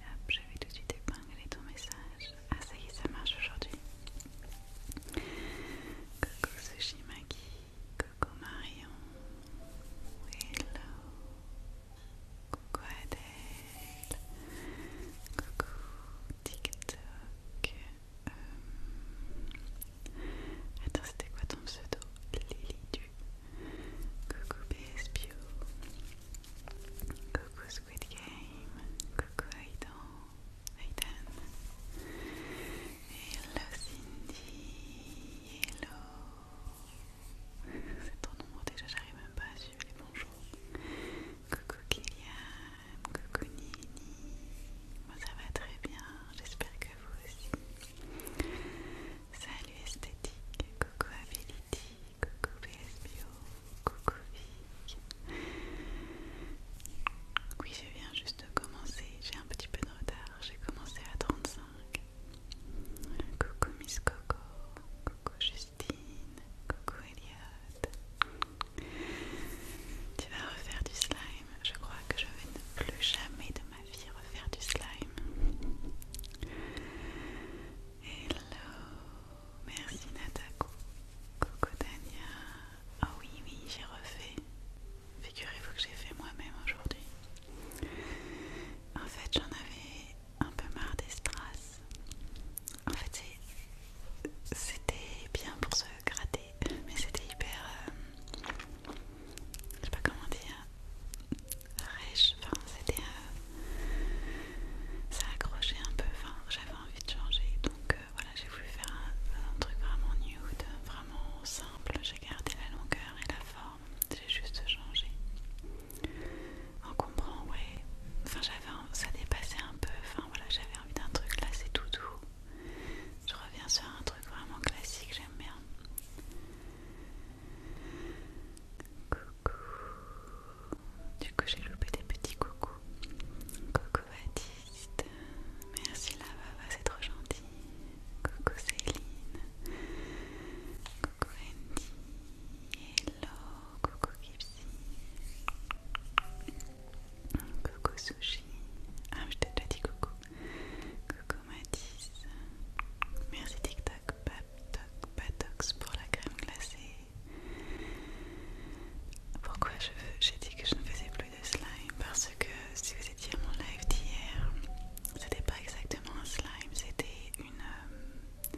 hop, je vais tout de suite épingler ton message. Ah, ça y est, ça marche aujourd'hui. Coucou Sushimaki, coucou Marion, hello, coucou Adèle, coucou TikTok. Euh, attends, c'était quoi ton pseudo Lily du Coucou BSPO Coucou coucou Aidan, Aidan, hello Cindy, hello, c'est ton nom déjà, j'arrive même pas à suivre Bonjour. coucou Kylian, coucou Nini, moi ça va très bien, j'espère que vous aussi, salut Esthétique, coucou Ability, coucou BSBO Coucou Vic. Oui, je viens juste de commencer. J'ai un petit peu de retard. J'ai commencé à 35. Coucou Miss Coco. Coucou Justine. Coucou Elliot. Tu vas refaire du slime. Je crois que je vais ne plus jamais de ma vie refaire du slime. Hello Merci Natako. Coucou Tania. Oh ah oui, oui, j'ai refait. Figurez-vous que j'ai fait moi-même aujourd'hui. En fait, j'en avais un peu marre des strass. En fait, c'était bien pour se gratter, mais c'était hyper. Euh, je sais pas comment dire. Rêche. Enfin, c'était ça accrochait un peu, enfin j'avais envie de changer donc euh, voilà j'ai voulu faire un, truc vraiment nude, vraiment simple, j'ai gardé la longueur et la forme, j'ai juste changé On comprend ouais, enfin j'avais, ça dépassait un peu, enfin voilà j'avais envie d'un truc là c'est tout doux je reviens sur un truc vraiment classique, j'aime bien Coucou du coup, j'ai loupé des petits coucou, Coucou Baptiste. Merci la baba c'est trop gentil. Coucou Céline. Coucou Andy. Hello. Coucou Gipsy. Coucou Sushi. Ah, je t'ai déjà dit coucou. Coucou Mathis. Merci TikTok, Patox pour la crème glacée. Pourquoi j'ai dit que je ne faisais plus de slime Parce que si vous étiez à mon live d'hier, c'était pas exactement un slime, c'était une euh,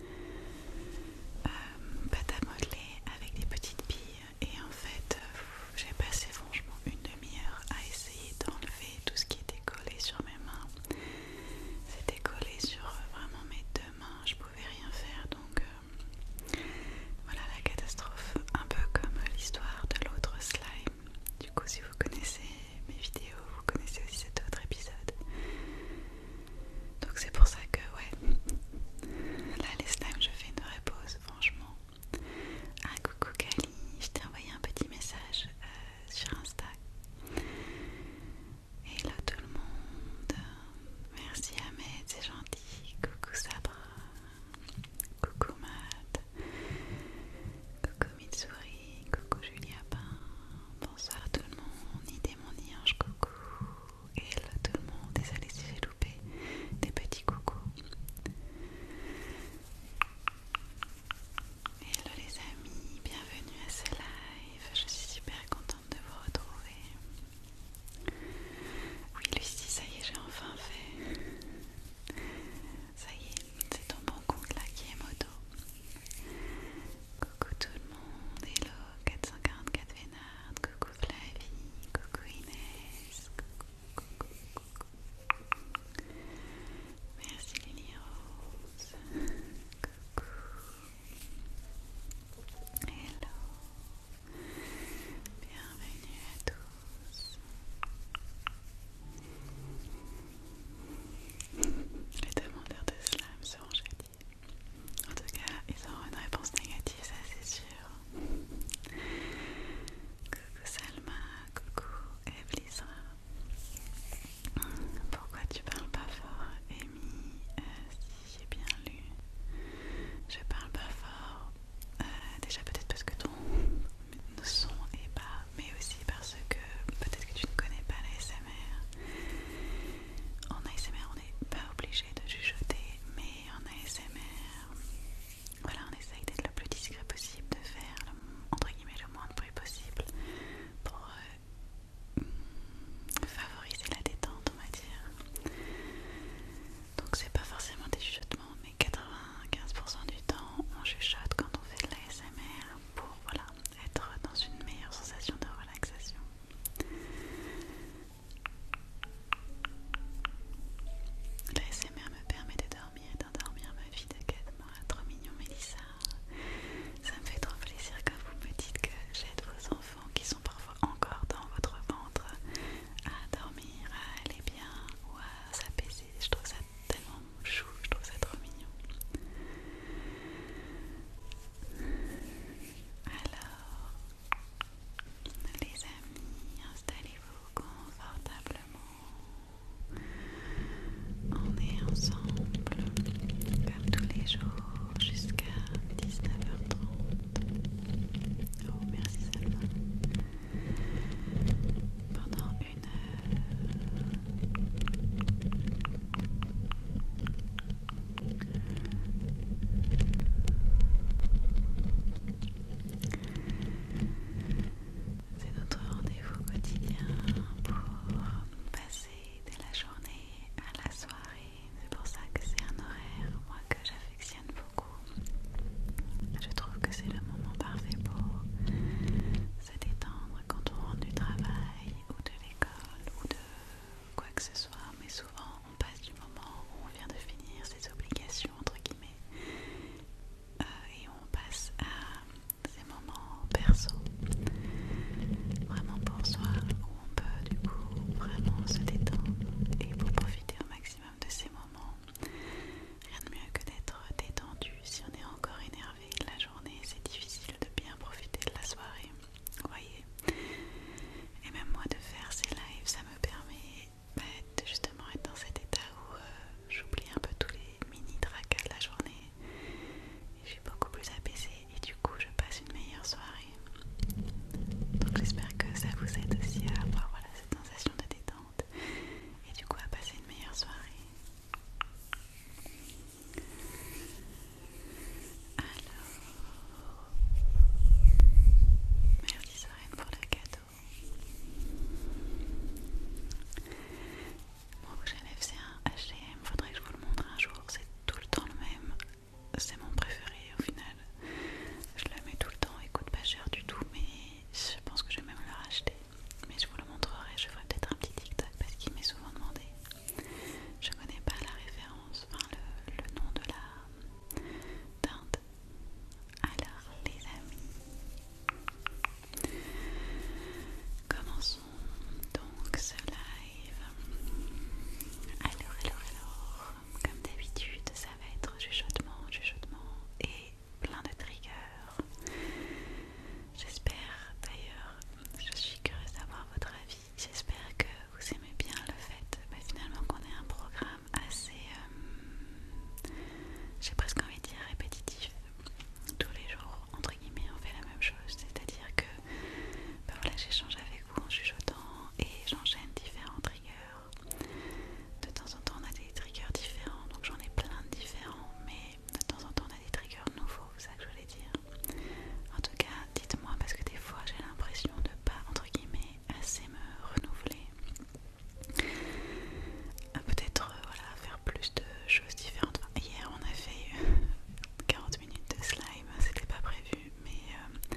euh, pâte à modeler avec des petites billes. Et en fait, euh, j'ai passé franchement une demi-heure à essayer d'enlever tout ce qui était collé sur mes mains. C'était collé sur vraiment mes je pouvais rien faire donc euh, voilà la catastrophe, un peu comme l'histoire de l'autre slime. Du coup, si vous connaissez mes vidéos, vous connaissez aussi cet autre épisode. Donc, c'est pour ça que, ouais, là les slimes, je fais une vraie pause, franchement. Un coucou Kali, je t'ai envoyé un petit message euh, sur Insta. Hello tout le monde, merci Ahmed, c'est gentil. Coucou Sabra, coucou Matt, coucou Mitsuri, coucou Julia Pain, bonsoir tout le monde, idée mon ange, coucou. Hello tout le monde, désolé si j'ai loupé des petits coucou Hello les amis, bienvenue à ce live, je suis super contente de vous retrouver. Oui, Lucie, ça y est, j'ai enfin fait. Ça y est, c'est ton bon compte là qui est moto. Coucou tout le monde, hello 444 Vénard, coucou Flavie, coucou Inès, coucou, coucou, coucou. Merci Lily Rose, coucou. Hello, bienvenue à tous. Les demandeurs de slam seront jadis. En tout cas, ils auront une réponse négative, ça c'est sûr. Coucou Salma, coucou Evlisa. Pourquoi tu parles pas fort, Amy euh, j'ai bien lu. Je parle pas fort, euh, déjà peut-être parce que ton son est bas, mais aussi parce que peut-être que tu ne connais pas l'ASMR. En ASMR, on n'est pas obligé de chuchoter, mais en ASMR, voilà, on essaye d'être le plus discret possible, de faire entre guillemets le moins de bruit possible pour euh, favoriser la détente, on va dire. Donc, c'est pas forcément des chuchotements, mais 95% du temps, on chuchote quand on fait de l'ASMR pour voilà, être dans une meilleure sensation de relaxation. L'ASMR me permet de dormir et d'endormir ma vie de 4 mois. Trop mignon, Mélissa. Ça me fait trop plaisir quand vous me dites que j'aide vos enfants qui sont parfois encore dans votre ventre à dormir, à aller bien ou à s'apaiser. Je trouve ça tellement chou, je trouve ça trop mignon. Alors, les amis, installez-vous confortablement. On est ensemble comme tous les jours jusqu'à 19h30. Oh merci Pendant une heure. C'est notre rendez-vous quotidien pour passer de la journée à la soirée c'est pour ça que c'est un horaire moi que j'affectionne beaucoup. Je trouve que c'est le moment parfait pour se détendre quand on rentre du travail ou de l'école ou de quoi que ce soit, mais souvent on passe du moment où on vient de finir ses obligations entre guillemets euh, et on passe à ces moments perso, vraiment pour soi on peut du coup vraiment se détendre et pour profiter au maximum de ces moments, rien de mieux que d'être détendu. Si on est encore énervé la journée, c'est difficile de bien profiter de la soirée, vous voyez. Et même moi de faire ces lives, ça me permet bah, de justement être dans cet état où euh, j'oublie un peu tous les mini tracas de la journée. Et je suis beaucoup plus apaisée et du coup je passe une meilleure soirée. Donc j'espère que ça vous aide aussi à avoir cette sensation de détente et du coup à passer une meilleure soirée. Alors, merci Sorène pour le cadeau. Mon prochain c'est un htm, faudrait que je vous le montre un jour, c'est tout le temps le même c'est mon préféré au final. Je la mets tout le temps, écoute coûte pas cher du tout, mais je pense que je vais même le racheter. Mais je vous le montrerai, je ferai peut-être un petit TikTok parce qu'il m'est souvent demandé. Je connais pas la référence, enfin le, nom de la teinte. Alors les amis, commençons. Donc cela alors, alors, alors, comme d'habitude, ça va être chuchotement, chuchotement et plein de triggers. J'espère d'ailleurs, je suis curieuse d'avoir votre avis. J'espère que vous aimez bien le fait bah, finalement qu'on ait un programme assez, euh, j'ai presque envie de dire répétitif. Tous les jours, entre guillemets, on fait la même chose. C'est-à-dire que bah, voilà, j'échange avec vous en chuchotant et j'enchaîne différents triggers. De temps en temps on a des triggers différents, donc j'en ai plein de différents, mais de temps en temps on a des triggers nouveaux, c'est ça que je voulais dire. En tout cas, dites-moi parce que des fois j'ai l'impression de pas entre guillemets assez me renouveler. Euh, peut-être euh, voilà, faire plus de choses différentes. hier on a fait 40 minutes de slime, c'était pas prévu mais euh,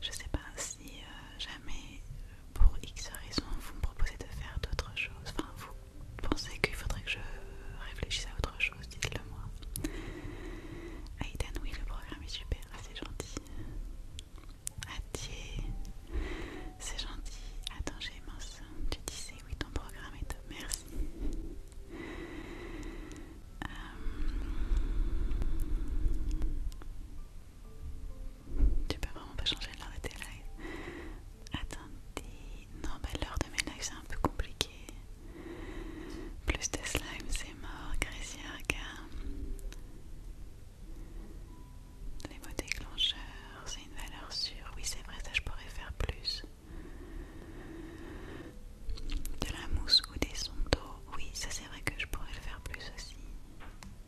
je sais pas si euh, jamais euh, pour X raison vous me proposez de faire d'autres choses. Enfin, vous pensez qu'il faudrait que je réfléchisse à autre chose, dites-le moi. Aiden, oui, le programme est super, c'est gentil. Adieu, c'est gentil. Attends, j'ai Tu disais, oui, ton programme est top, merci. Euh, tu peux vraiment pas changer l'heure de tes lives. Attendez. Non, mais bah, l'heure de mes lives c'est un peu compliqué. Plus de slime, c'est mort. Gracie, regarde. Les mots déclencheurs, c'est une valeur sûre. Oui, c'est vrai, ça je pourrais faire plus de la mousse ou des sondes Oui, ça c'est vrai que je pourrais le faire plus aussi.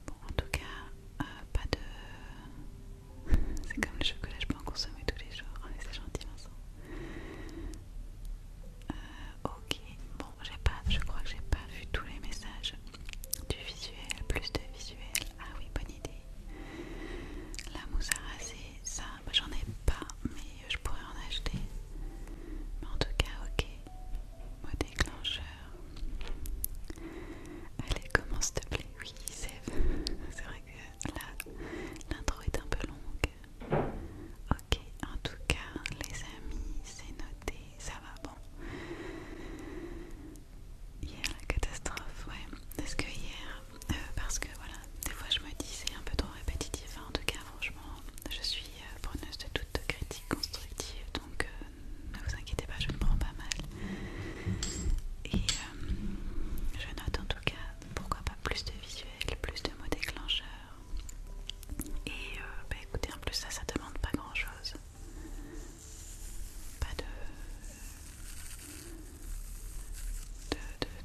Bon, en tout cas, euh, pas de. c'est comme le chocolat, je peux en consommer tous les jours. C'est gentil, Vincent. Euh, ok, bon, j'ai pas, je crois que j'ai pas vu tous les messages du visuel, plus de visuel. Ah oui, bonne idée. La mousse à raser, ça moi bah, j'en ai pas, mais je pourrais en acheter. Mais en tout cas, ok. déclencheur. Allez, commence s'il te plaît. Oui, c'est vrai que là, l'intro est un peu longue. Ok, en tout cas, les amis, c'est noté. Ça va, bon. Hier, la catastrophe, ouais. Est-ce que hier, euh, parce que voilà, des fois je me dis c'est un peu trop répétitif. Hein. en tout cas, franchement, je suis suis euh, preneuse de toute critique constructive, donc euh, ne vous inquiétez pas, je me prends pas mal. Et euh, je note en tout cas, pourquoi pas plus de visuels, plus de mots déclencheurs. Et bah écoutez, en plus ça, ça demande pas grand chose. Pas de...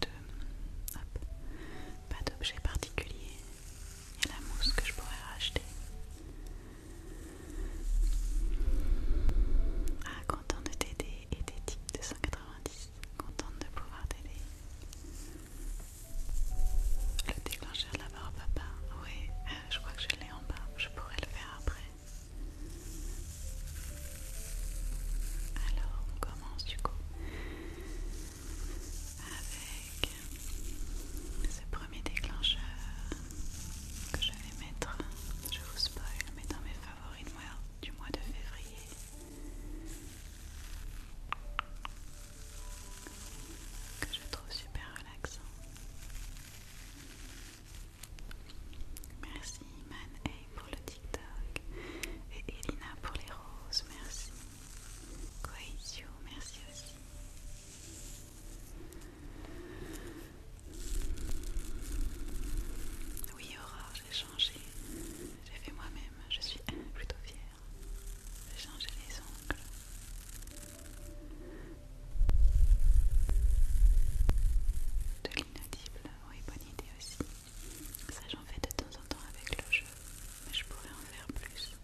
de pas d'objet particulier, et la mousse que je pourrais racheter. Ah, contente de t'aider et des types de 190. Contente de pouvoir t'aider. Le déclencheur là la papa, oui, euh, je crois que je l'ai en bas, je pourrais le faire après. Alors on commence du coup avec ce premier déclencheur que je vais mettre, je vous spoil, mais dans mes favoris du mois de février. Que je trouve super relaxant. Merci Man A pour le TikTok et Elina pour les roses, merci. Coesio, merci aussi. Oui, Aurore, j'ai changé. J'ai fait moi-même. Je suis plutôt fière. J'ai changé les ongles. De l'inaudible, oui, bonne idée aussi. Ça, j'en fais de temps en temps avec le jeu mais je pourrais en faire plus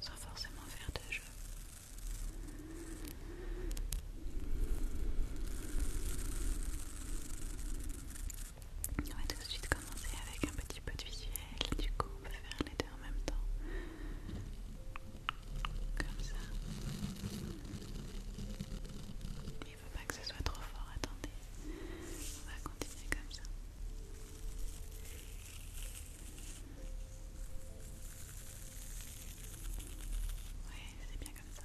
sans forcément faire de jeu. On va tout de suite commencer avec un petit peu de visuel, du coup on peut faire les deux en même temps. Comme ça. il ne faut pas que ce soit trop fort, attendez. On va continuer comme ça. Oui, c'est bien comme ça.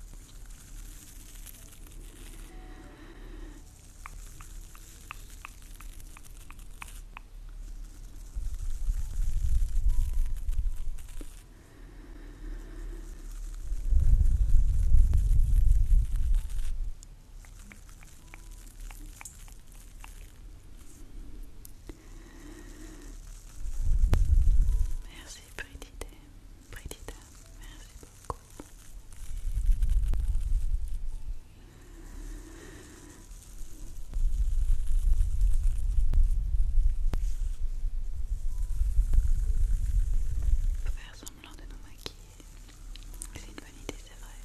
Merci Bridita, Bridita, merci beaucoup. faire semblant de nous maquiller. C'est une bonne idée, c'est vrai.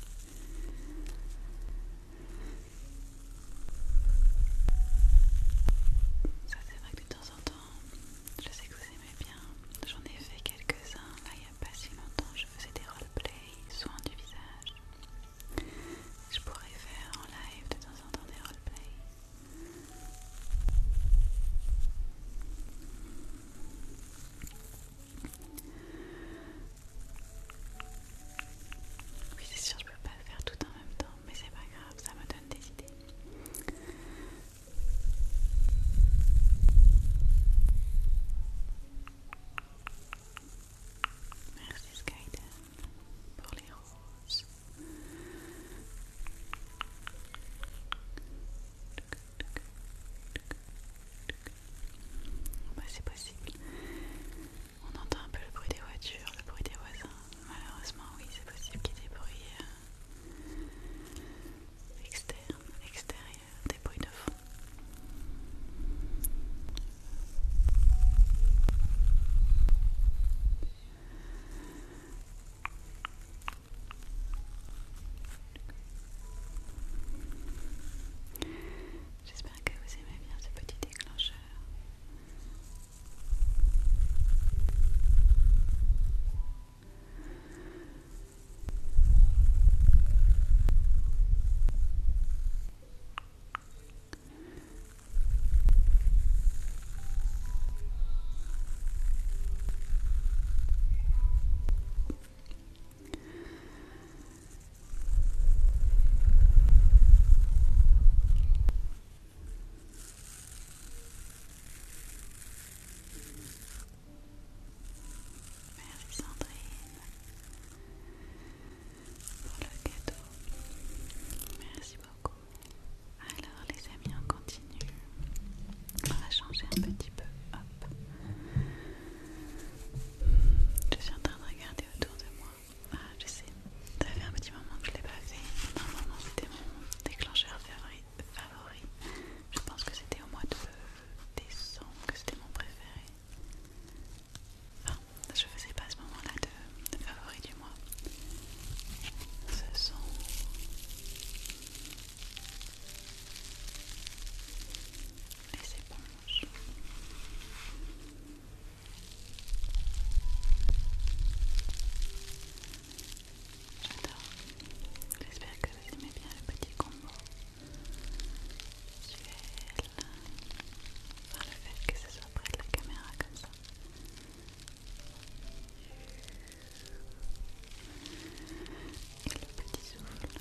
Ça, c'est vrai que de temps en temps, je sais que vous aimez bien. J'en ai fait quelques-uns, là, il n'y a pas si longtemps. Je faisais des roleplays, soins du visage. Je pourrais faire en live de temps en temps des roleplays. Oui, c'est sûr, je peux pas le faire tout en même temps, mais c'est pas grave, ça me donne des idées. Merci Skyden pour les roses. Bah, c'est possible. On entend un peu le bruit des voitures, le bruit des voisins. Malheureusement, oui, c'est possible qu'il y ait des bruits euh, externes, extérieurs, des bruits de fond. J'espère que vous aimez bien ce petit déclencheur. Merci Sandrine pour le gâteau, Merci beaucoup. Alors les amis, on continue. On va changer un petit peu. Hop. Je suis en train de regarder autour de moi. Ah, je sais. Ça fait un petit moment que je l'ai pas fait. un moment, c'était mon déclencheur favori. Je pense que c'était au mois de décembre que c'était mon préféré. Enfin, je faisais pas ce moment-là de favori du mois. Ce sont les éponges. J'adore. J'espère que vous aimez bien le petit combo. là Par le fait que ce soit près de la caméra comme ça. Et le petit souffle.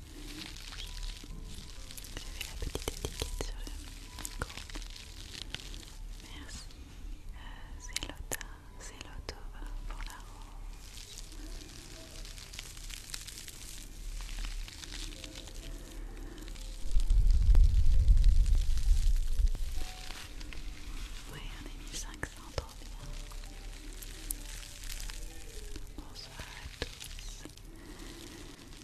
J'ai fait la petite étiquette sur le micro. Merci, C'est euh, c'est Zelotova pour la rose. Oui, on est 1500, trop bien. Bonsoir à tous.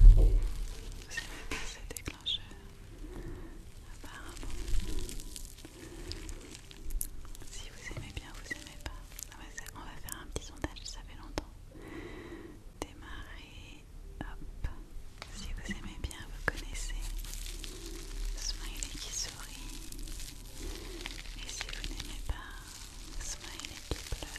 Vous aimez apparemment. Si vous aimez bien, vous aimez pas. on va faire un petit sondage, ça fait longtemps. Démarrer, hop. Si vous aimez bien, vous connaissez. Smiley qui sourit. Et si vous n'aimez pas, Smiley qui pleure.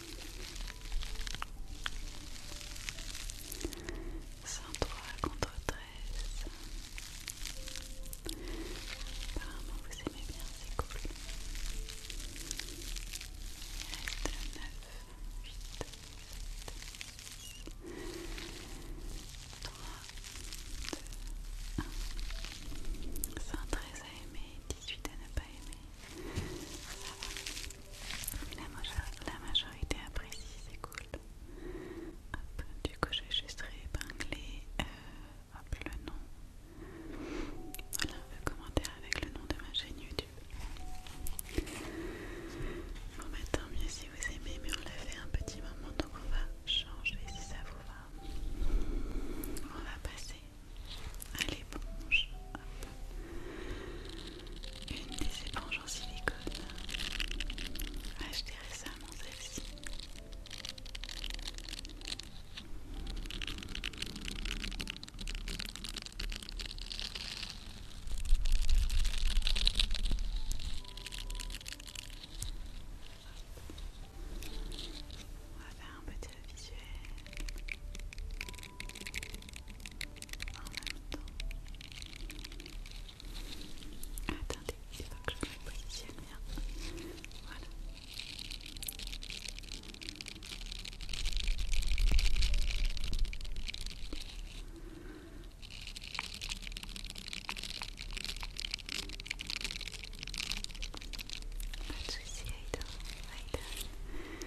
103 contre 13. Apparemment, vous aimez bien, c'est cool. 9, 8, 8, 3, 2, 1. 113 à aimer, 18 à ne pas aimer. Ça va. La, majorité apprécie, c'est cool. Hop, du coup, vais juste réépingler euh, le nom. Voilà, le commentaire avec le nom de ma chaîne YouTube. Bon, bah tant mieux si vous aimez, mais on l'a fait un petit moment, donc on va changer si ça vous va. On va passer à l'éponge une des éponges en silicone J'ai acheté récemment celle-ci on va faire un petit visuel en Attendez, il faut que je me positionne bien. Voilà. Pas de soucis, Aïda. Aïda.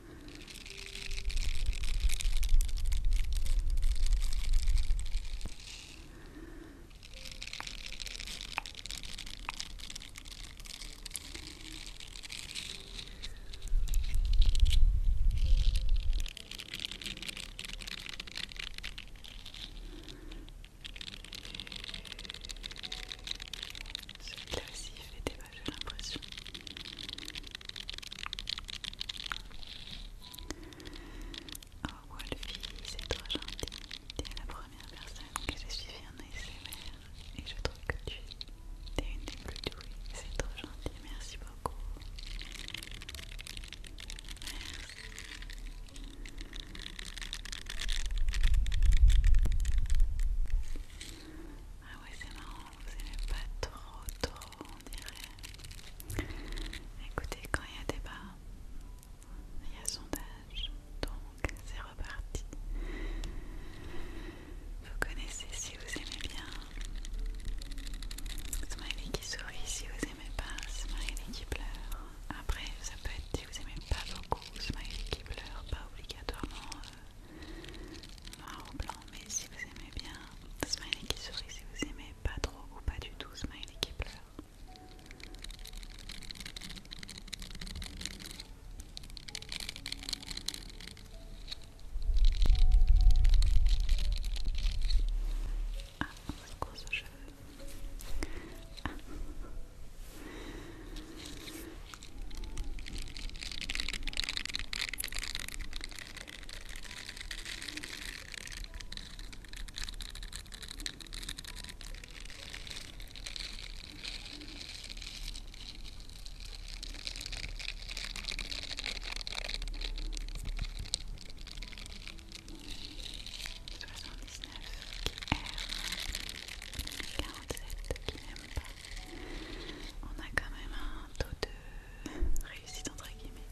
Celui-là aussi il fait débat, j'ai l'impression. Oh Wolfie, c'est trop gentil. Tu la première personne que j'ai suivie en ASMR et je trouve que tu es, une des plus douées. C'est trop gentil, merci beaucoup. Merci. Ah ouais, c'est marrant, vous pas trop trop on dirait. Écoutez, quand il y a débat, il y a sondage, donc c'est reparti. Vous connaissez si vous aimez bien. Smiley qui sourit si vous aimez pas. Smiley qui pleure. Après, ça peut être si vous aimez pas beaucoup. Smiley qui pleure, pas obligatoirement euh, noir ou blanc mais si vous aimez bien, smiley qui sourit, si vous aimez pas trop ou pas du tout, smiley qui pleure. Ah, qui n'aime pas. On a quand même un taux de réussite entre guillemets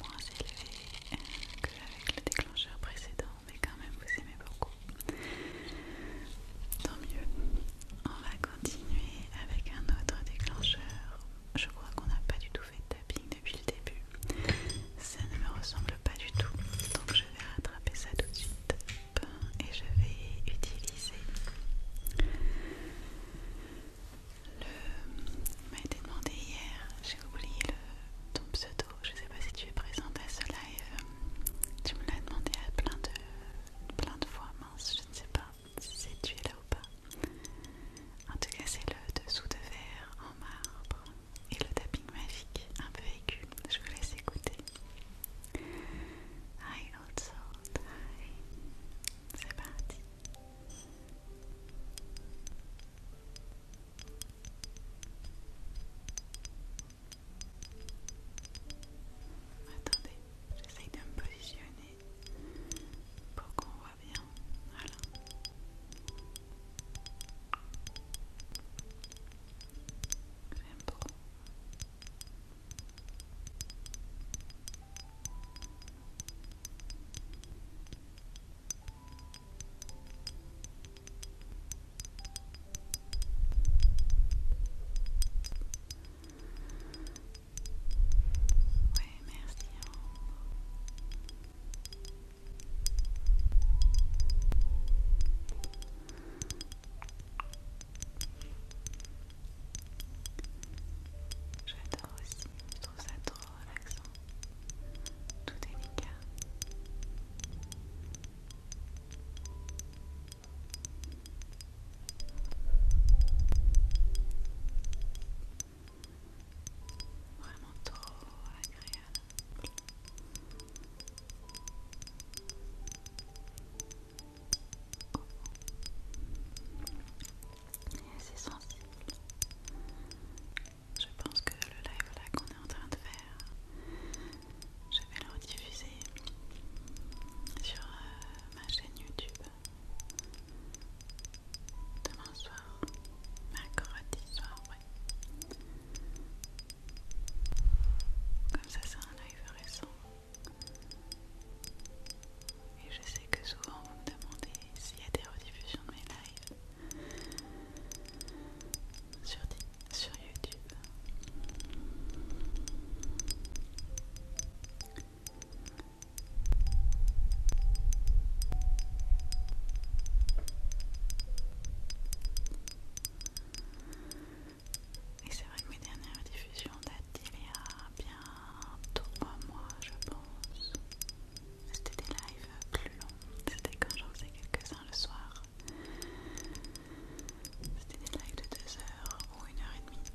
moins élevée euh, que avec le déclencheur précédent mais quand même vous aimez beaucoup tant mieux on va continuer avec un autre déclencheur je crois qu'on n'a pas du tout fait de tapping depuis le début ça ne me ressemble pas du tout donc je vais rattraper ça tout de suite et je vais utiliser le... m'a été demandé hier, j'ai oublié le... ton pseudo, je sais pas si tu es présent à ce live, tu me l'as demandé à plein de... plein de fois, mince, je ne sais pas si tu es là ou pas. En tout cas c'est le dessous de verre en marbre et le tapping magique un peu aigu, je vous laisse écouter. Hi, old hi, c'est parti. Attendez, j'essaie de me positionner pour qu'on voit bien. Voilà. J'aime trop. Oui merci. J'adore aussi, je trouve ça trop relaxant, tout délicat. Vraiment trop agréable. Et sensible. Je pense que le live là qu'on est en train de faire, je vais le rediffuser sur euh, ma chaîne YouTube demain soir, mercredi soir, ouais. Comme ça, c'est un live récent. Et je sais que souvent vous me demandez s'il y a des rediffusions de mes lives sur, YouTube. Et c'est vrai que mes dernières rediffusions datent d'il y a bientôt 3 mois, je pense. C'était des lives plus longs, c'était quand j'en faisais quelques-uns le soir. C'était des lives de 2 heures ou 1 heure et demie.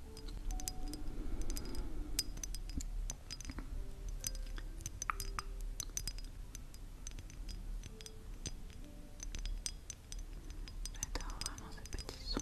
J'adore vraiment ce petit son.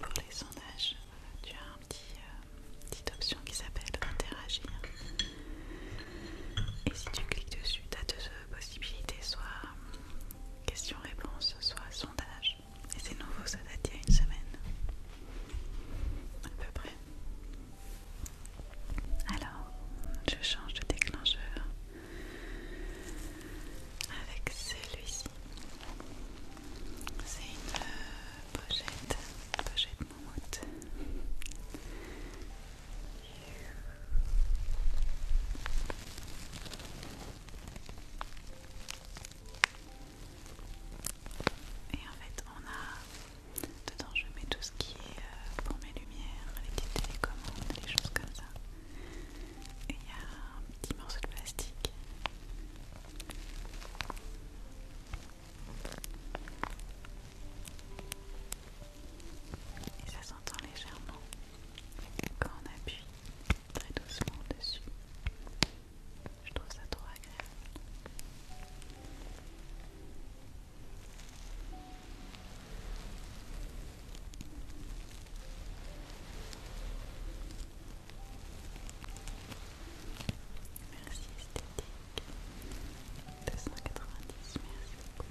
Pour les sondages, tu as un petit, euh, petite option qui s'appelle interagir. Et si tu cliques dessus, tu as deux euh, possibilités, soit euh, question-réponse, soit sondage. Et c'est nouveau, ça date d'il y a une semaine. À peu près. Alors, je change de déclencheur avec celui-ci. C'est une euh, pochette, pochette moumoute Et en fait, on a dedans, je mets tout ce qui est euh, pour mes lumières, les petites télécommandes, les choses comme ça. Et il y a un petit morceau de plastique. Et ça s'entend légèrement quand on appuie très doucement dessus. Je trouve ça trop agréable. Merci esthétique 290, merci beaucoup.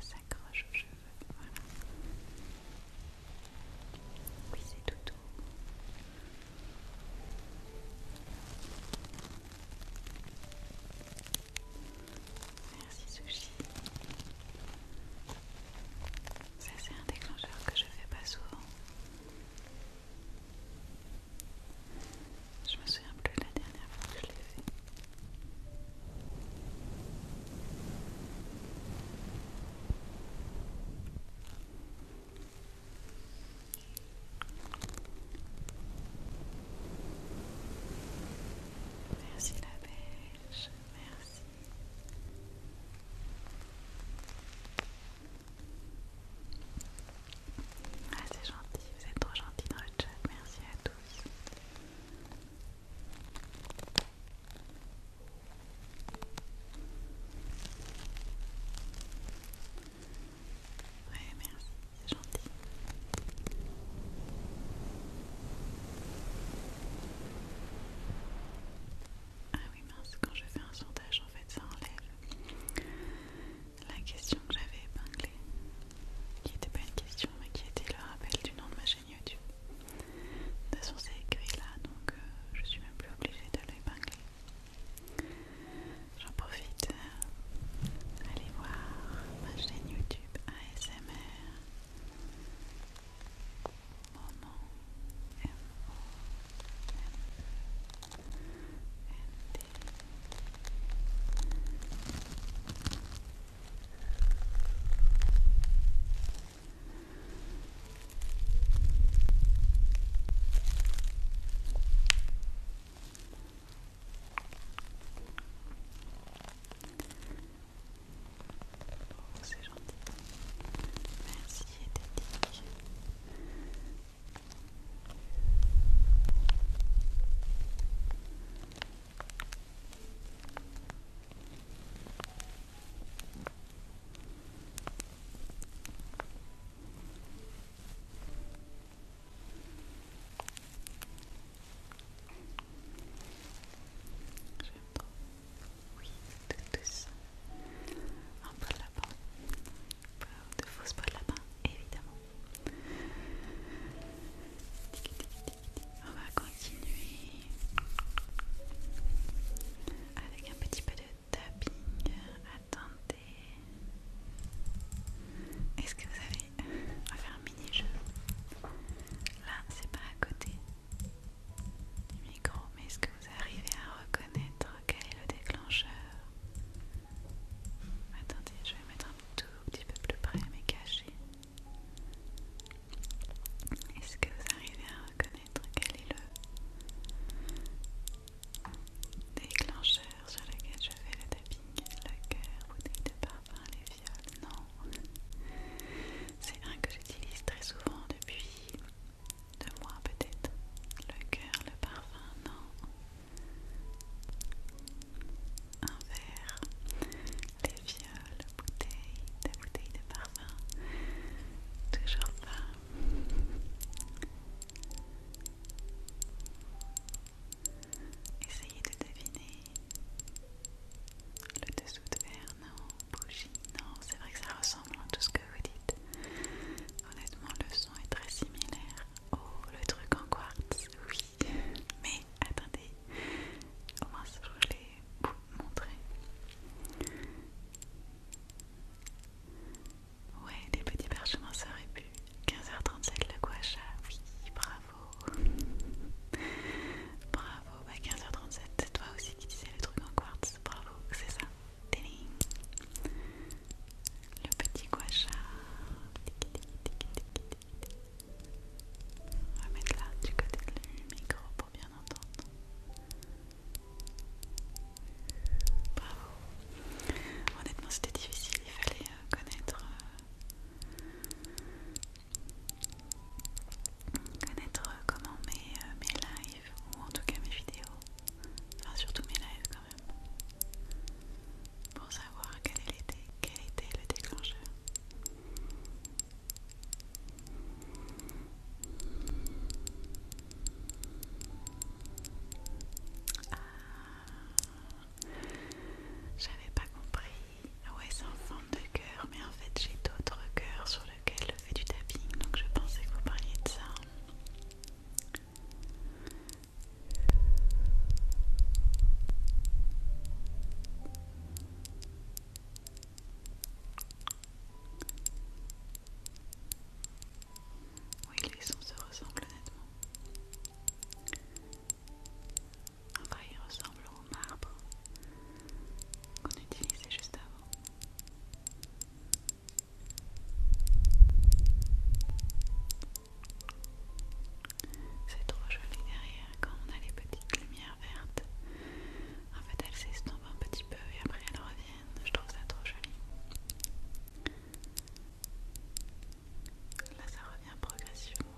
ça oui, c'est tout. Merci Sushi. Ça c'est un déclencheur que je fais pas souvent. Je me souviens plus de la dernière fois que je l'ai fait. Merci la Belge. merci. Ah c'est gentil, vous êtes trop gentils dans le chat, merci à tous. Ouais, merci, c'est gentil. Ah oui, mince, quand je fais un sondage, en fait, ça enlève la question que j'avais épinglée, qui n'était pas une question, mais qui était le rappel du nom de ma chaîne YouTube. De toute façon, écrit là, donc euh, je suis même plus obligée de l'épingler. J'en profite. Euh, allez voir ma chaîne YouTube ASMR c'est gentil. Merci d'être J'aime trop. Oui, tout, tout ça. Un pot de lapin. De fausses pots de lapin, évidemment. On va continuer avec un petit peu de tapping. Attendez. Est-ce que vous avez... On faire un mini-jeu. Là, c'est pas à côté du micro, mais est-ce que vous arrivez à reconnaître quel est le déclencheur Attendez, je vais mettre un tout petit peu plus près, mais caché. Est-ce que vous arrivez à reconnaître quel est le déclencheur sur lequel je fais le tapping. Le cœur, bouteille de parfum, les viols, non. C'est un que j'utilise très souvent depuis deux mois peut-être. Le cœur, le parfum, non. Un verre, les viols, bouteille, la bouteille de parfum. Toujours pas. Essayez de deviner. Le dessous de verre, non. Bougie, non. C'est vrai que ça ressemble à tout ce que vous dites. Honnêtement, le son est très similaire. au le truc en quartz, oui. Mais attendez, au moins je rouler vous montrer. Ouais, des petits perchements ça aurait pu. 15h37 le guacha, oui, bravo. bravo, bah 15h37, c'est toi aussi qui disais le truc en quartz, bravo, c'est ça. Le petit guacha. On va mettre là du côté du micro pour bien entendre. Bravo. Honnêtement, c'était difficile, il fallait euh, connaître euh, connaître euh, comment mes, lives ou en tout cas mes vidéos, enfin surtout mes lives quand même, pour savoir quel quel était le déclencheur. Ah. j'avais pas compris. Ouais, c'est en forme de cœur, mais en fait, j'ai d'autres cœurs sur lesquels je fais du tapping, donc je pensais que vous parliez de ça. Oui, les sons se ressemblent honnêtement. Enfin, ils ressemblent au marbre qu'on utilisait juste avant. C'est trop joli derrière quand on a les petites lumières vertes en fait, elle s'estompe un petit peu et après elle revient, Je trouve ça trop joli. Là, ça revient progressivement.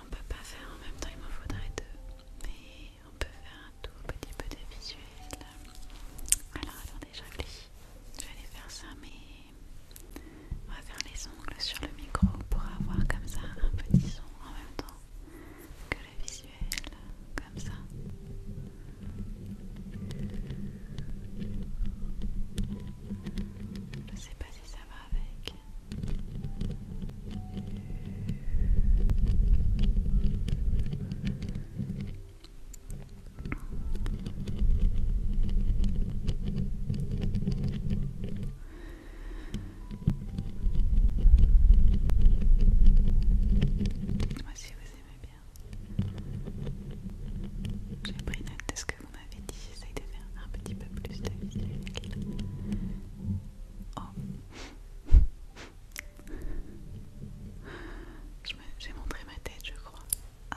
On peut pas faire en même temps, il m'en faudrait deux. Mais on peut faire un tout petit peu de visuel. Alors attendez, je Je vais aller faire ça, mais on va faire les ongles sur le micro pour avoir comme ça un petit son en même temps que le visuel, comme ça. Je sais pas si ça va avec. Moi si vous aimez bien. J'ai pris note de ce que vous m'avez dit, j'essaye de faire un petit peu plus de visuel. Oh. J'ai montré ma tête, je crois. Ah.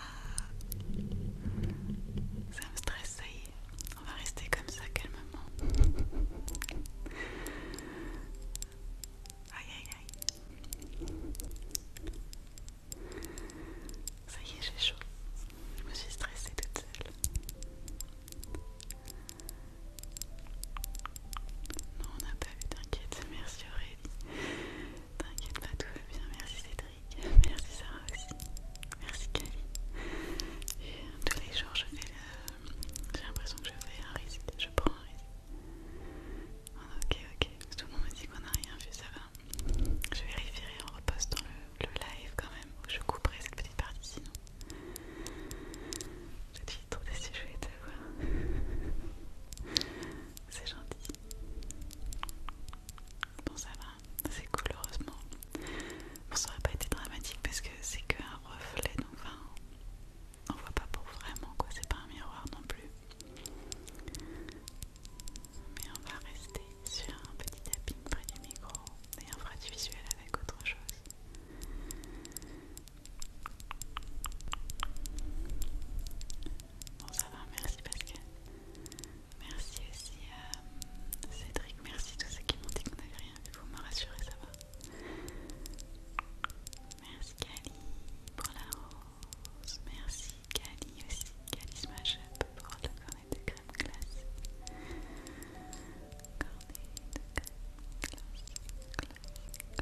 Ça me stresse, ça y est. On va rester comme ça calmement. Aïe aïe aïe. Ça y est, j'ai chaud. Je me suis stressée toute seule. Non, on n'a pas vu, t'inquiète. Merci Aurélie. T'inquiète pas, tout va bien. Merci Cédric. Merci Sarah aussi. Merci Camille. Euh, tous les jours, je fais J'ai l'impression que je fais un risque. Je prends un risque. Ah, ok, ok. Tout le monde me dit qu'on n'a rien vu, ça va. Je vérifierai en repostant dans le, live quand même. ou je couperai cette petite partie sinon titre de si je vais te voir. C'est gentil. Bon, ça va, c'est cool, heureusement. ça aurait pas été dramatique parce que c'est qu'un reflet, donc enfin, on voit pas pour vraiment quoi, c'est pas un miroir non plus. Mais on va rester sur un petit tapping près du micro et on fera du visuel avec autre chose. Bon, ça va, merci Pascal. Merci aussi à euh, Cédric, merci tous ceux qui m'ont dit qu'on n'avait rien vu. Vous me rassurez, ça va. Merci Cali pour la rose. Merci Cali aussi. Cali Smash Up pour la cornet de crème glace. Cornée de crème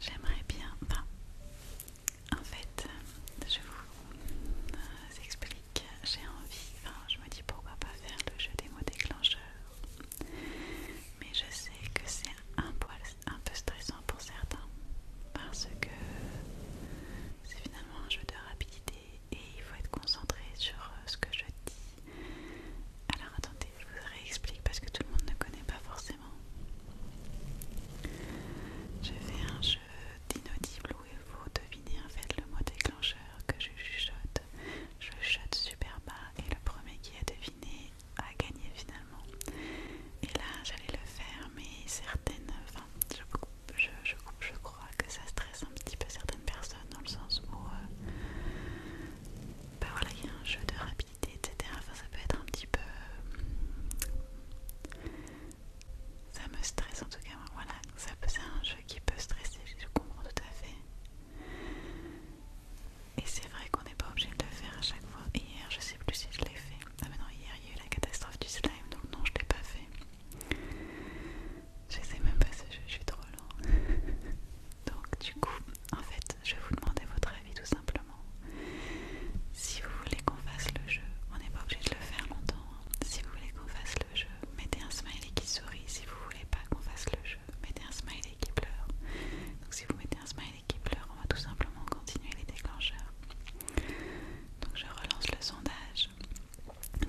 J'aimerais bien. en fait, je vous euh, explique. J'ai envie. je me dis pourquoi pas faire le jeu des mots déclencheurs. Mais je sais que c'est un peu stressant pour certains parce que c'est finalement un jeu de rapidité et il faut être concentré sur euh, ce que je dis. Alors attendez, je vous réexplique parce que tout le monde ne connaît pas forcément. Je fais un jeu d'inaudible où vous vous deviner en fait le mot déclencheur que je chuchote. Je chuchote super bas et le premier qui a deviné a gagné finalement. Et là j'allais le faire mais certaines... Enfin je coupe, je coupe, je crois crois que ça stresse un petit peu certaines personnes dans le sens où euh, bah voilà, il y a un jeu de rapidité, etc. Enfin, ça peut être un petit peu. Euh, ça me stresse en tout cas, voilà, ça c'est un jeu qui peut stresser, je comprends tout à fait. Et c'est vrai qu'on n'est pas obligé de le faire à chaque fois. Hier, je sais plus si je l'ai fait. Ah, mais non, hier il y a eu la catastrophe du slime, donc non, je l'ai pas fait. Je sais même pas ce jeu, je suis trop lent. Donc du coup, en fait, je vais vous demander votre avis tout simplement. Si vous voulez qu'on fasse le jeu, on n'est pas obligé de le faire longtemps. Hein. Si vous voulez qu'on fasse le jeu, mettez un smiley qui sourit. Si vous voulez pas qu'on fasse le jeu, mettez un smiley qui pleure. Donc si vous mettez un smiley qui pleure, on va tout simplement continuer les déclencheurs. Donc je relance le sondage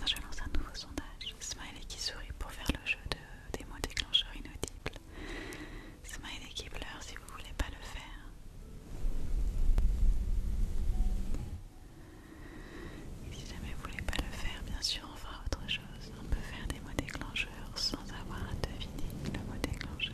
je lance un nouveau sondage. Smiley qui sourit pour faire le jeu de, des mots déclencheurs inaudibles. Smiley qui pleure si vous voulez pas le faire. Et si jamais vous ne voulez pas le faire, bien sûr on fera autre chose. On peut faire des mots déclencheurs sans avoir à deviner le mot déclencheur.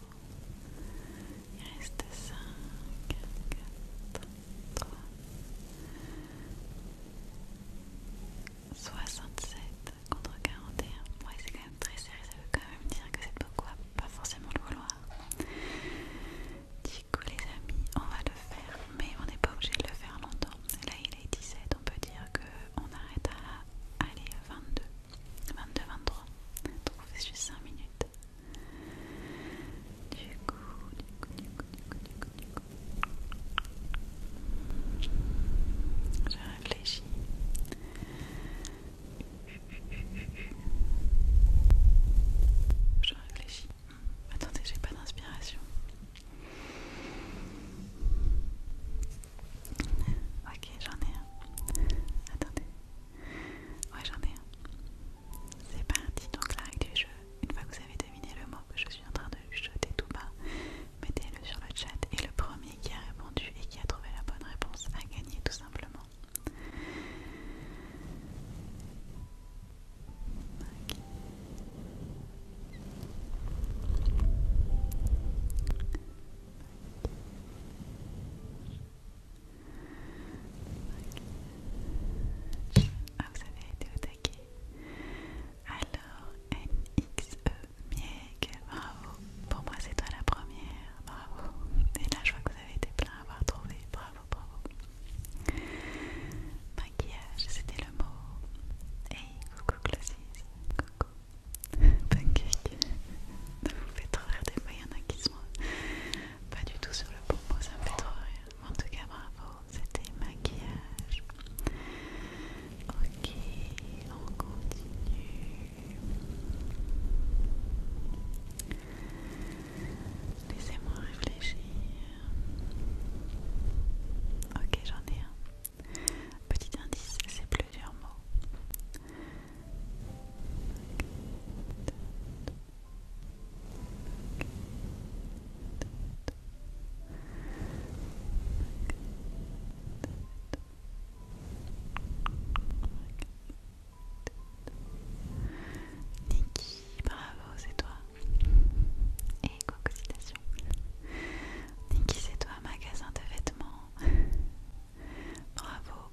Il reste 5, 4, 3, 67 contre 41. Ouais, c'est quand même très sérieux, ça veut quand même dire que c'est beaucoup quoi, pas forcément le vouloir. Du coup, les amis, on va le faire, mais on n'est pas obligé de le faire longtemps. Là, il est 17, on peut dire qu'on arrête à aller à 22. 22, 23. Donc on juste 5 minutes. Du coup, du coup, du coup, du coup, du coup, Je réfléchis. Je réfléchis. attendez, j'ai pas d'inspiration. Ok, j'en ai un. Attendez. Ouais, j'en ai un. C'est parti, donc la règle du jeu, une fois que vous avez deviné le mot que je suis en train de jeter tout bas, mettez-le sur le chat et le premier qui a répondu et qui a trouvé la bonne réponse a gagné tout simplement. Ah, vous avez été au Alors, NXE Miec bravo. Pour moi, c'est toi la première, bravo. Et là, je vois que vous avez été plein à avoir trouvé, bravo, bravo. Maquillage, c'était le mot. Hey, coucou Glossis, coucou. Ça vous faites trop rire des fois, il y en a qui pas du tout sur le propos, ça me fait trop rire. En tout cas, bravo, c'était maquillage. Ok, on continue. Laissez-moi réfléchir. Ok, j'en ai un. Petit indice, c'est plusieurs mots. Niki, bravo, c'est toi. Et coucou citation. Niki, c'est toi, magasin de vêtements. bravo,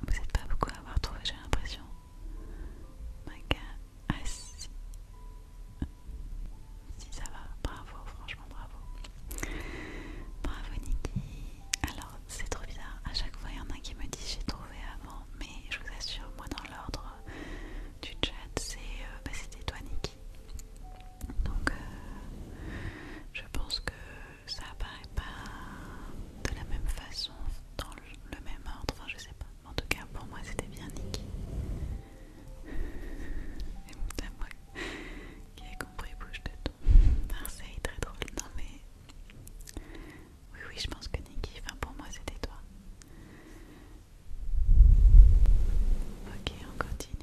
vous n'êtes pas beaucoup à avoir trouvé, j'ai l'impression. Maga, Ah Si ça va, bravo, franchement bravo. Bravo Niki. Alors c'est trop bizarre, à chaque fois il y en a qui me dit j'ai trouvé avant, mais je vous assure, moi dans l'ordre du chat, c'est euh, bah, c'était toi Nikki Donc euh, je pense que ça apparaît pas de la même façon, dans le même ordre, enfin je sais pas. En tout cas pour moi c'était bien Niki Et moi qui ai compris bouche de ton. Marseille, très drôle. Non mais... Oui oui je pense que Niki, enfin pour moi c'était toi. Ok, on continue.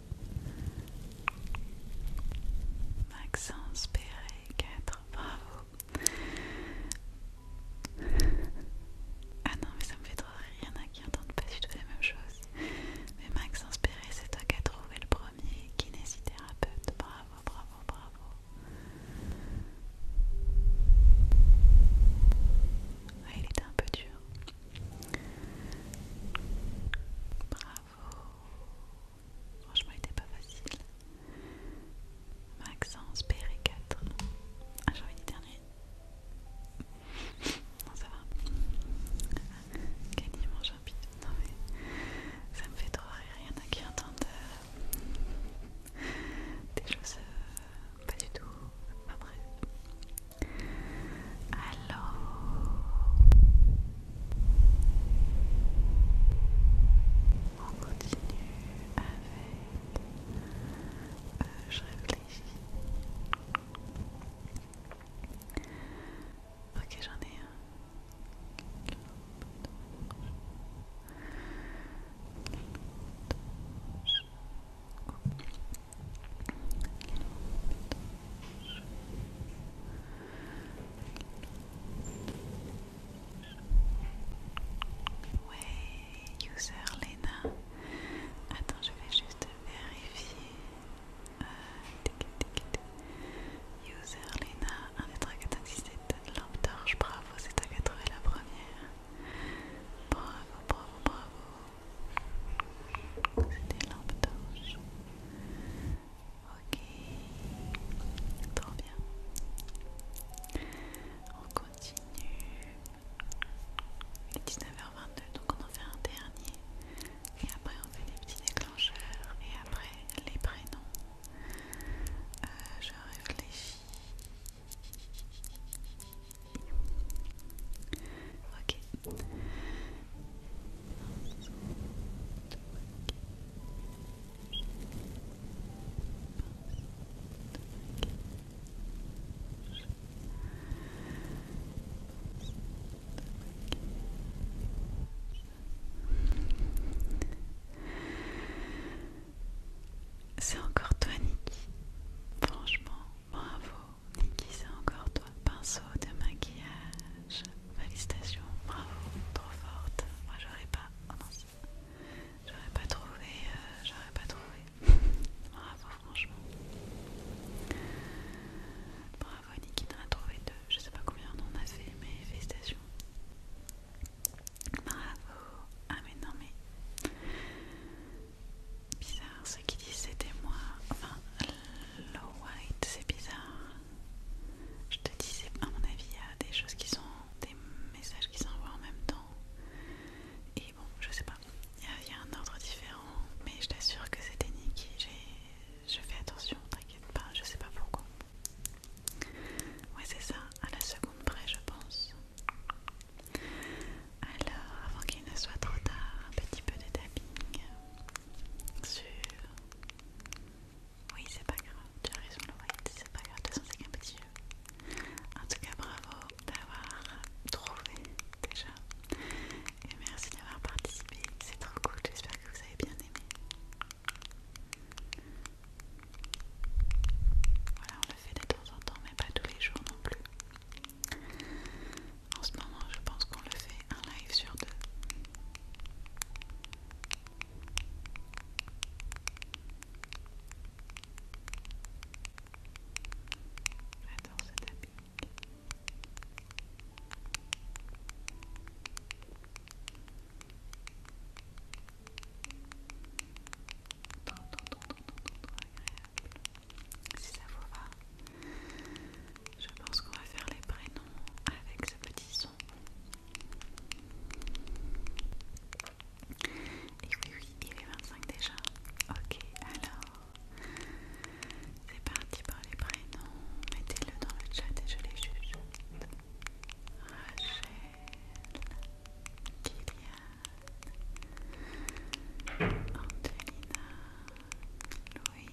Maxence Perret, 4, bravo. Ah non, mais ça me fait trop rire, il y en a qui entendent pas du tout la même chose. Mais Maxence Perret, c'est toi qui as trouvé le premier kinésithérapeute, bravo, bravo, bravo. Ah, il était un peu dur. Bravo. Franchement, il était pas facile. Maxence, PR4. Ah, j'ai envie dernier. Non, ça va. qu'elle mange un Non, mais ça me fait trop rire. Il y en a qui entendent euh, des choses euh, pas du tout. Pas Alors, on continue avec euh, je réfléchis. Ok, j'en ai un. Oui, user Lena. Attends, je vais juste vérifier. Euh, user Lena, 1 des 397 lampe torche, bravo, c'est toi qui la première. Bravo, bravo, bravo. c'était lampe d'orge. Ok, trop bien. On continue. Il est 19h22, donc on en fait un dernier. Et après, on fait les petits déclencheurs. Et après, les prénoms. Euh, je réfléchis. Ok. C'est encore toi Niki. Franchement, bravo. Niki, c'est encore toi. Pinceau de maquillage. Félicitations, bravo, trop forte. Moi j'aurais pas. Oh J'aurais pas trouvé. Euh, j'aurais pas trouvé. bravo, franchement. Bravo, Niki en a trouvé deux. Je sais pas combien on en a fait, mais félicitations. Bravo. Ah, mais non, mais. Bizarre, ceux qui disent c'était moi. Enfin, Low White, c'est bizarre. Je te dis, à mon avis, il y a des choses qui sont. des messages qui s'envoient en même temps. Et bon, je sais pas. Il y, a un ordre différent, mais je t'assure que c'était Niki, Je fais attention, t'inquiète pas, je sais pas pourquoi. Ouais, c'est ça, à la seconde près, je pense. Alors, avant qu'il ne soit trop tard, un petit peu de tapping sur oui, c'est pas grave, tu as raison, White, c'est pas grave, de toute façon, c'est qu'un petit jeu. En tout cas, bravo d'avoir trouvé déjà. Et merci d'avoir participé, c'est trop cool, j'espère que vous avez bien aimé. Voilà, on le fait de temps en temps, mais pas tous les jours non plus. En ce moment, je pense qu'on le fait un live sur deux. J'adore ce Si ça je pense qu'on va faire les prénoms avec ce petit son. Et oui, oui, il est 25 déjà. Ok, alors c'est parti pour les prénoms. Mettez-le dans le chat et je les juge. Rachel, Kylian, Angelina, Louis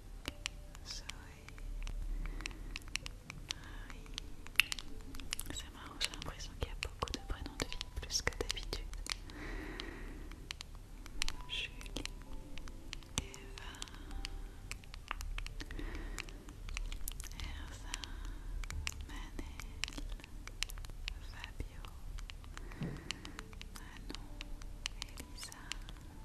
Zoé, Marie. C'est marrant, j'ai l'impression qu'il y a beaucoup de prénoms de filles, plus que d'habitude. Julie, Eva, Manel, Fabio, Manon, Elisa,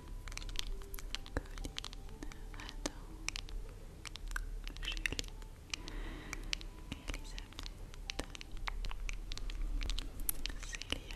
Colline, Adam, Julie, Elisabeth, Célia. Marie, Arda, Emma, Manon, Lola, Camille,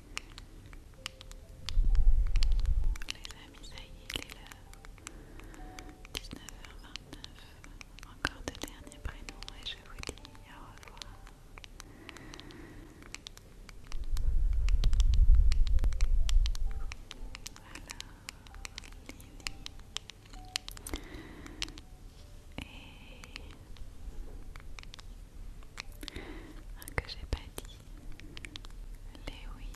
Les amis, ça y est, il est là. 19h29. Encore deux derniers prénoms et je vous dis au revoir. Voilà, Lily. Et que j'ai pas dit. oui.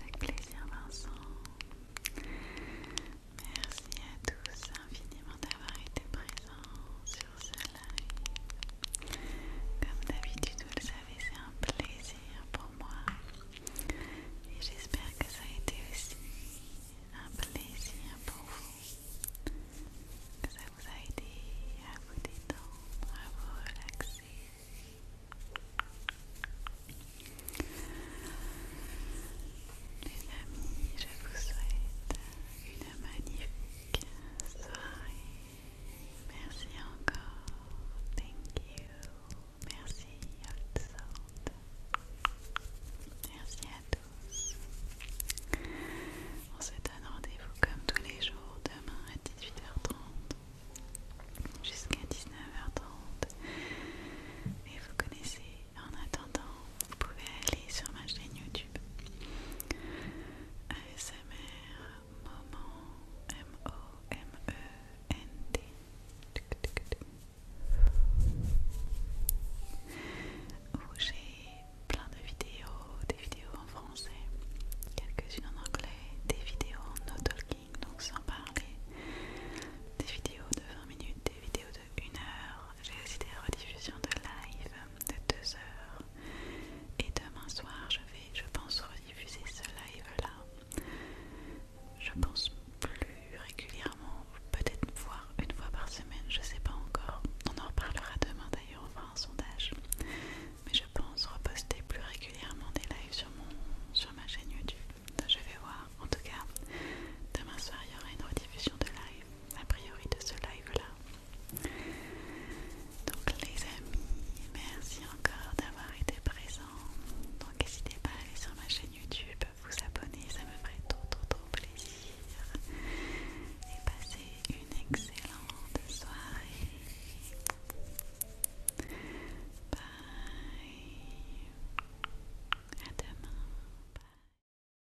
Avec plaisir Vincent. Merci à tous infiniment d'avoir été présents comme d'habitude, vous le savez, c'est un plaisir pour moi. Et j'espère que ça a été aussi un plaisir pour vous. Que ça vous a aidé à vous détendre, à vous relaxer. Les amis, je vous souhaite une magnifique Merci encore. Thank you. Merci Merci à tous. On se donne rendez-vous comme tous les jours demain à 18h30 jusqu'à 19h30. Et vous connaissez, en attendant, vous pouvez aller sur ma chaîne YouTube. Euh, m o m e n j'ai plein de vidéos, des vidéos en français, quelques-unes en anglais, des vidéos en no-talking, donc sans parler, des vidéos de 20 minutes, des vidéos de 1 heure, j'ai aussi des rediffusions de live de 2 heures. Et demain soir, je vais, je pense, rediffuser ce live-là. Je pense plus régulièrement, peut-être voir une fois par semaine, je sais pas encore. On en reparlera demain d'ailleurs, on fera un sondage. Mais je pense reposter plus régulièrement des lives sur, mon, sur ma chaîne YouTube. Je vais voir. En tout cas, demain soir, il y aura une rediffusion de live, a priori de ce live-là. Donc les amis, merci encore d'avoir été présents. Donc n'hésitez pas à aller sur ma chaîne YouTube, vous abonner, ça me ferait trop trop trop plaisir. Et passez une excellente soirée. Bye. À demain. Bye.